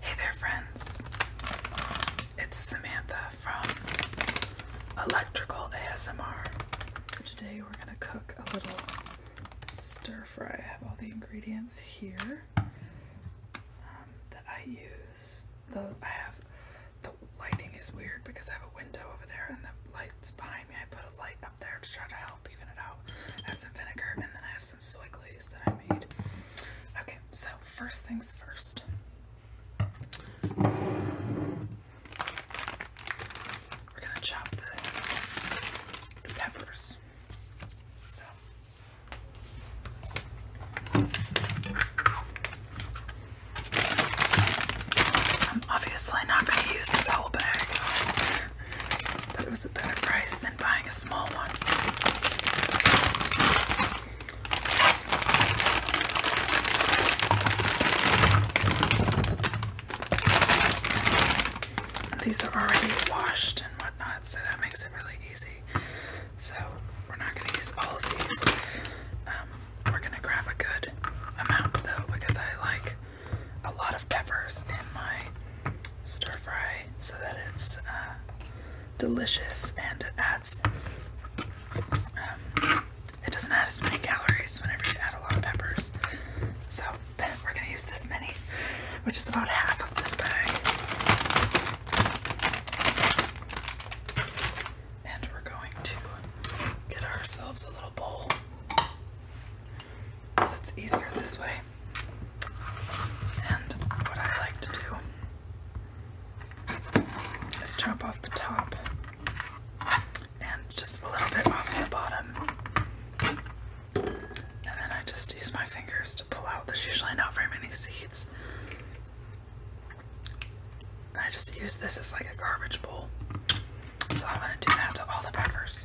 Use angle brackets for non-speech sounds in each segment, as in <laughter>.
Hey there, friends. It's Samantha from Electrical ASMR. So, today we're going to cook a little stir fry. I have all the ingredients here um, that I use. The, I have the lighting is weird because I have a window over there and the light's behind me. I put a light there to try to help even it out. I have some vinegar and then I have some soy glaze that I made. Okay, so first things first. We're gonna chop the, the peppers. So I'm obviously not gonna use this whole bag but it was a better price than buying a small one. These are already washed and whatnot, so that makes it really easy. So we're not going to use all of these. Um, we're going to grab a good amount though, because I like a lot of peppers in my stir fry so that it's uh, delicious and it adds. Um, it doesn't add as many calories whenever you add a lot of peppers. So then we're gonna use this many, which is about half of this bag. And we're going to get ourselves a little bowl because it's easier this way. And what I like to do is chop off the top and just a little bit off the bottom. And then I just use my fingers to pull out. There's usually not very many seeds. I just use this as like a garbage bowl. So I'm going to do that to all the peppers.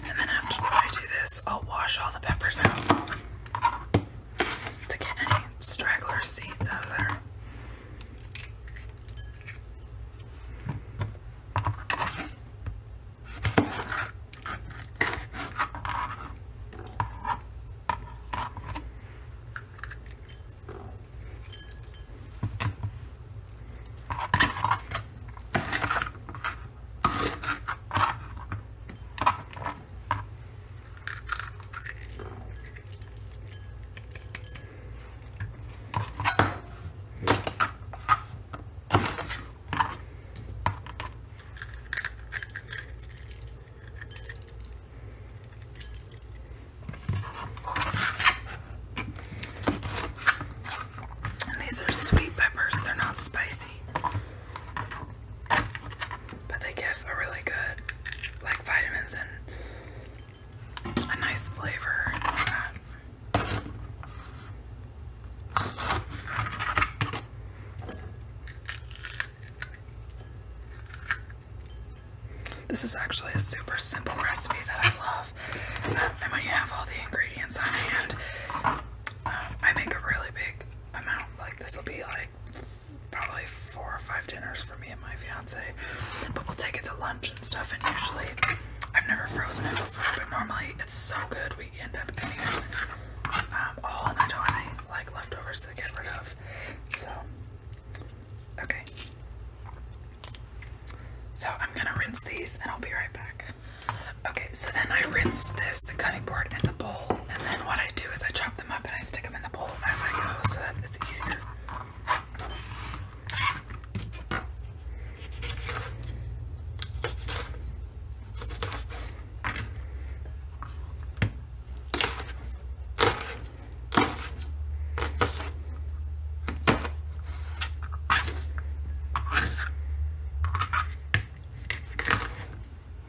And then after I do this, I'll wash all the peppers out to get any straggler seeds out of there. And these are sweet peppers, they're not spicy but they give a really good, like, vitamins and a nice flavor. This is actually a super simple recipe that I love. And when you have all the ingredients on hand, uh, I make a really big amount. Like, this will be like probably four or five dinners for me and my fiance. But we'll take it to lunch and stuff. And usually, I've never frozen it before, but normally it's so good we end up eating it um, all, and I do like leftovers to get rid of. So, okay. So I'm gonna rinse these, and I'll be right back. Okay, so then I rinse this, the cutting board, and the bowl, and then what I do is I chop chop them up and I stick them in the bowl as I go so that it's easier.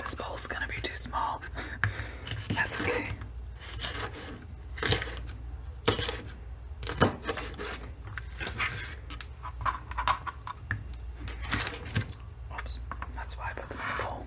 This bowl's gonna be too small. <laughs> That's okay. Oops, that's why I put them in bowl.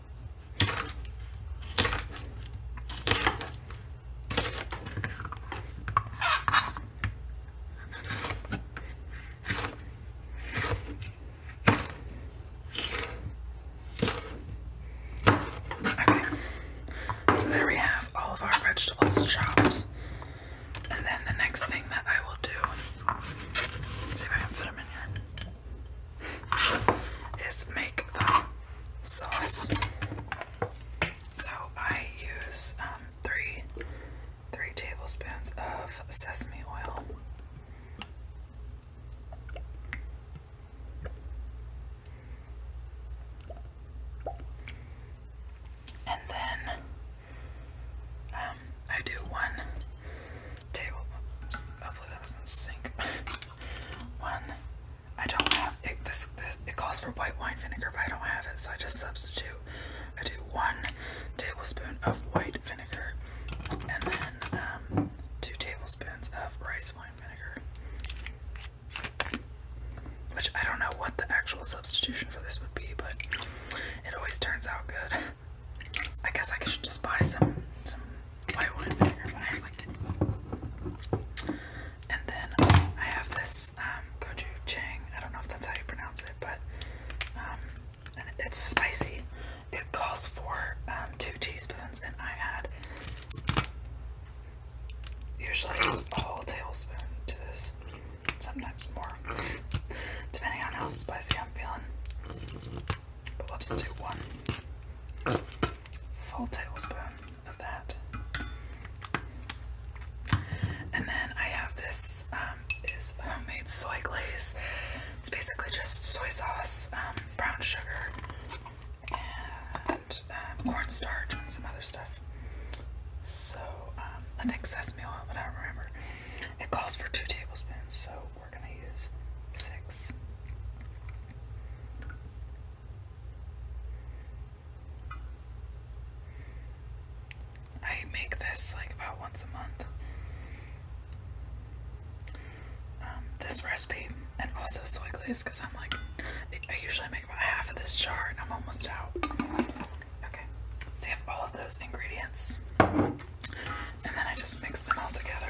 Okay, so there we have all of our vegetables chopped. And then the next thing that I will do, let's see if I can fit them in here is make the sauce. So I use um, three three tablespoons of sesame oil. And then um, I do one table. Hopefully that doesn't sink. <laughs> One. I don't have it. This, it calls for white wine vinegar, but I don't have it, so I just substitute. I do one tablespoon of white vinegar, and then um, two tablespoons of rice wine vinegar. Which I don't know what the actual substitution for this would be, but it always turns out good. <laughs> I guess I should just buy some some white wine And then I have this um, gochujang. I don't know if that's how you pronounce it, but um, it's spicy. It calls for um, two teaspoons, and I add usually a whole tablespoon to this, sometimes more, depending on how spicy I'm feeling. But i will just do one full tablespoon of that. And then I have this um, homemade soy glaze. It's basically just soy sauce, um, brown sugar, and um, cornstarch and some other stuff. So I think sesame oil, but I don't remember. It calls for two tablespoons, so we're going to use 6. I make this like about once a month. Um, this recipe and also soy glaze because I'm like, I usually make about half of this jar and I'm almost out. Okay, so you have all of those ingredients. And then I just mix them all together.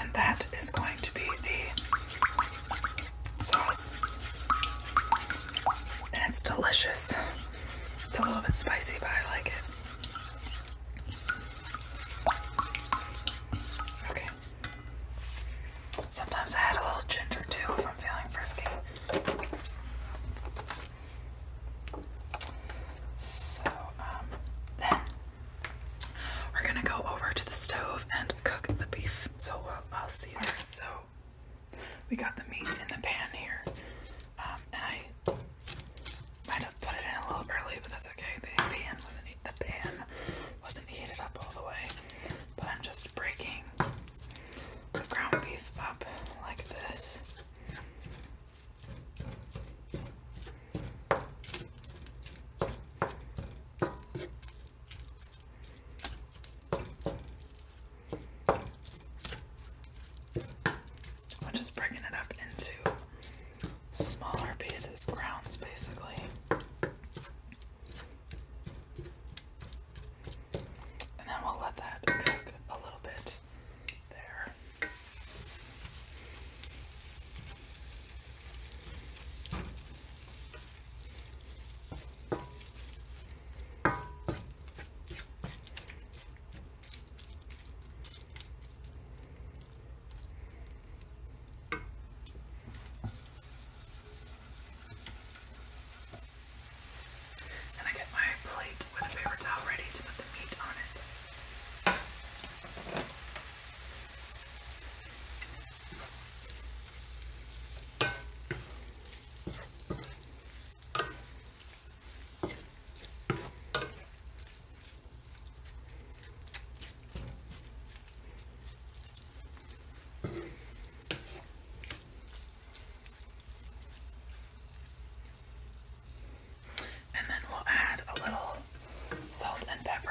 And that is going to be the sauce. And it's delicious. It's a little bit spicy, but I like it. Okay. Sometimes I add a little ginger too if I'm feeling frisky. So, um, then we're gonna go over to the stove and cook the beef. So I'll see you So we got the meat in the pan here, um, and I might have put it in a little early, but that's okay. The pan wasn't the pan wasn't heated up all the way, but I'm just breaking the ground beef up like this. I'm just breaking it up into smaller pieces, grounds basically. And then we'll let that cook a little bit there. And I get my plate with a paper towel ready to put the meat on it. And then we'll add a little salt and pepper.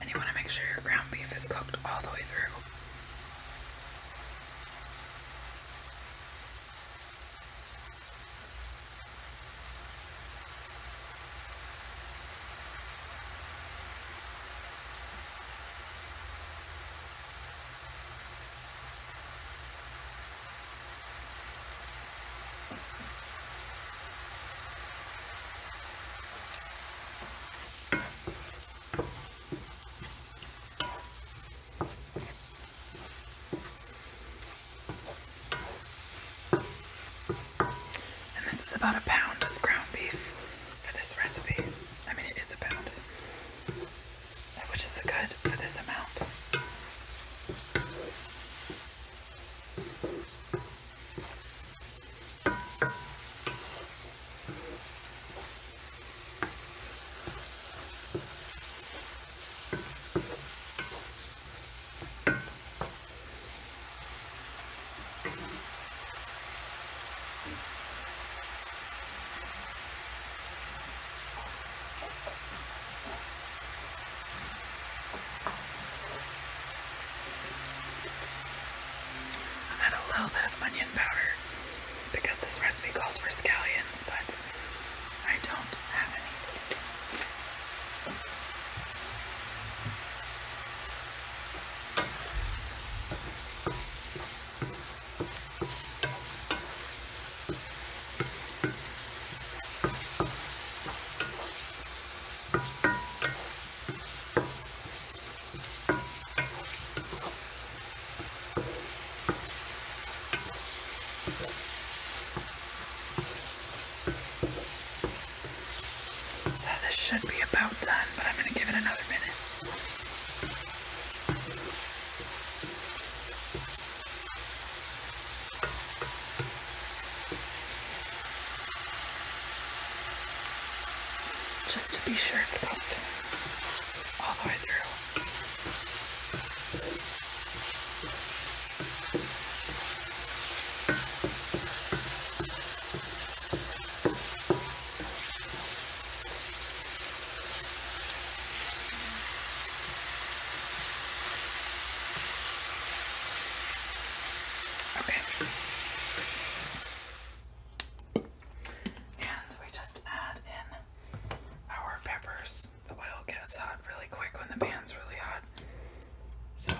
And you want to make sure your ground beef is cooked all the way through. And this is about a pound of ground beef for this recipe. I mean, it is a pound, which is good for this amount add a little bit of onion powder because this recipe calls for scallions, but I don't have any. So this should be about done, but I'm going to give it another minute. Just to be sure it's cooked all the way through. Okay. And we just add in our peppers. The oil gets hot really quick when the pan's really hot. So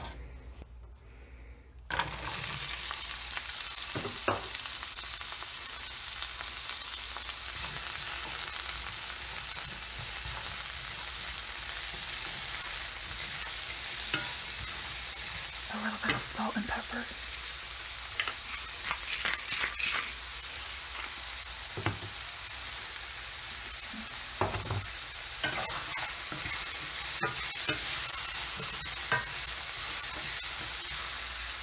a little bit of salt and pepper.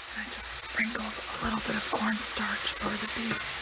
And I just sprinkled a little bit of cornstarch over the beef.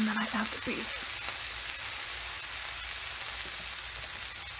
And then I add the beef.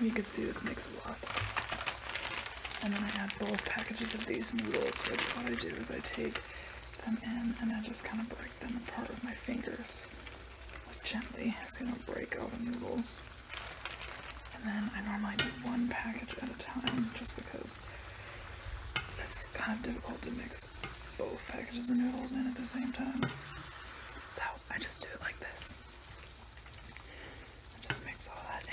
You can see this makes a lot. And then I add both packages of these noodles, which what I do is I take them in and I just kind of break them apart with my fingers. Gently, so you don't break all the noodles. And then I normally do one package at a time, just because it's kind of difficult to mix both packages of noodles in at the same time. So I just do it like this. I just mix all that in.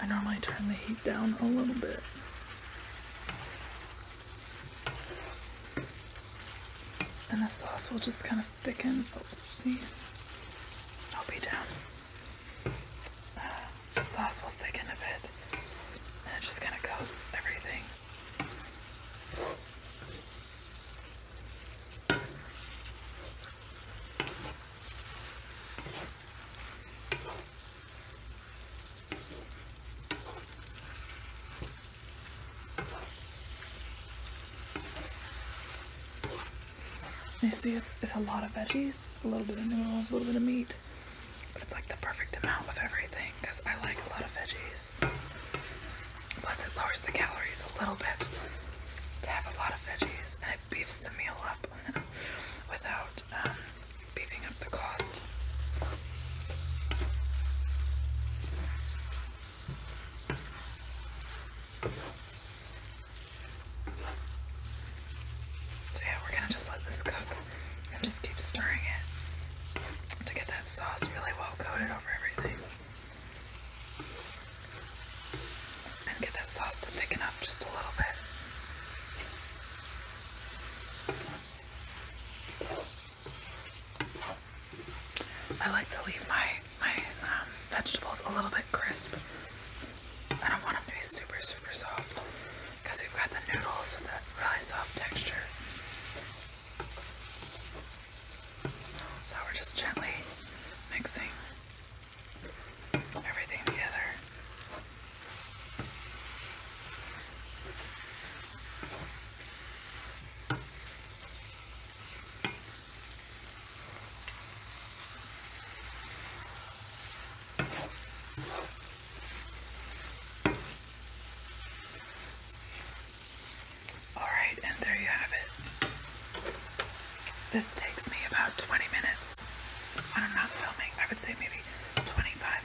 I normally turn the heat down a little bit. And the sauce will just kind of thicken. Oh, see? Sloppy down the sauce will thicken a bit and it just kind of coats everything. You see, it's, it's a lot of veggies, a little bit of noodles, a little bit of meat. But it's like the perfect amount of everything I like a lot of veggies. Plus, it lowers the calories a little bit to have a lot of veggies and it beefs the meal up <laughs> without um, beefing up the cost. So, yeah, we're gonna just let this cook and just keep stirring it to get that sauce really well coated over everything. And get that sauce to thicken up just a little bit. I like to leave my, my um, vegetables a little bit crisp. I don't want them to be super, super soft because we've got the noodles with that really soft texture. So we're just gently mixing everything together. Alright, and there you have it. This takes me about 20 minutes when I'm filming. I would say maybe 25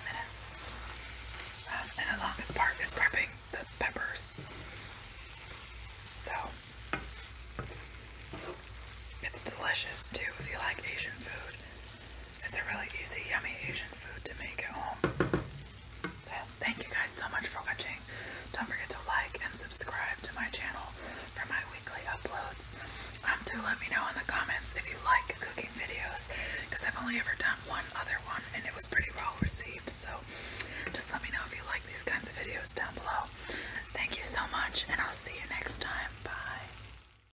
minutes. Um, and the longest part is prepping the peppers. So, it's delicious too if you like Asian food. It's a really easy, yummy Asian food to make at home. So, thank you guys so much for watching. Don't forget to like and subscribe to my channel for my weekly uploads. Um, do let me know in the comments if you like cooking videos, because I've only ever done one other one and it was pretty well received. So, just let me know if you like these kinds of videos down below. Thank you so much, and I'll see you next time. Bye.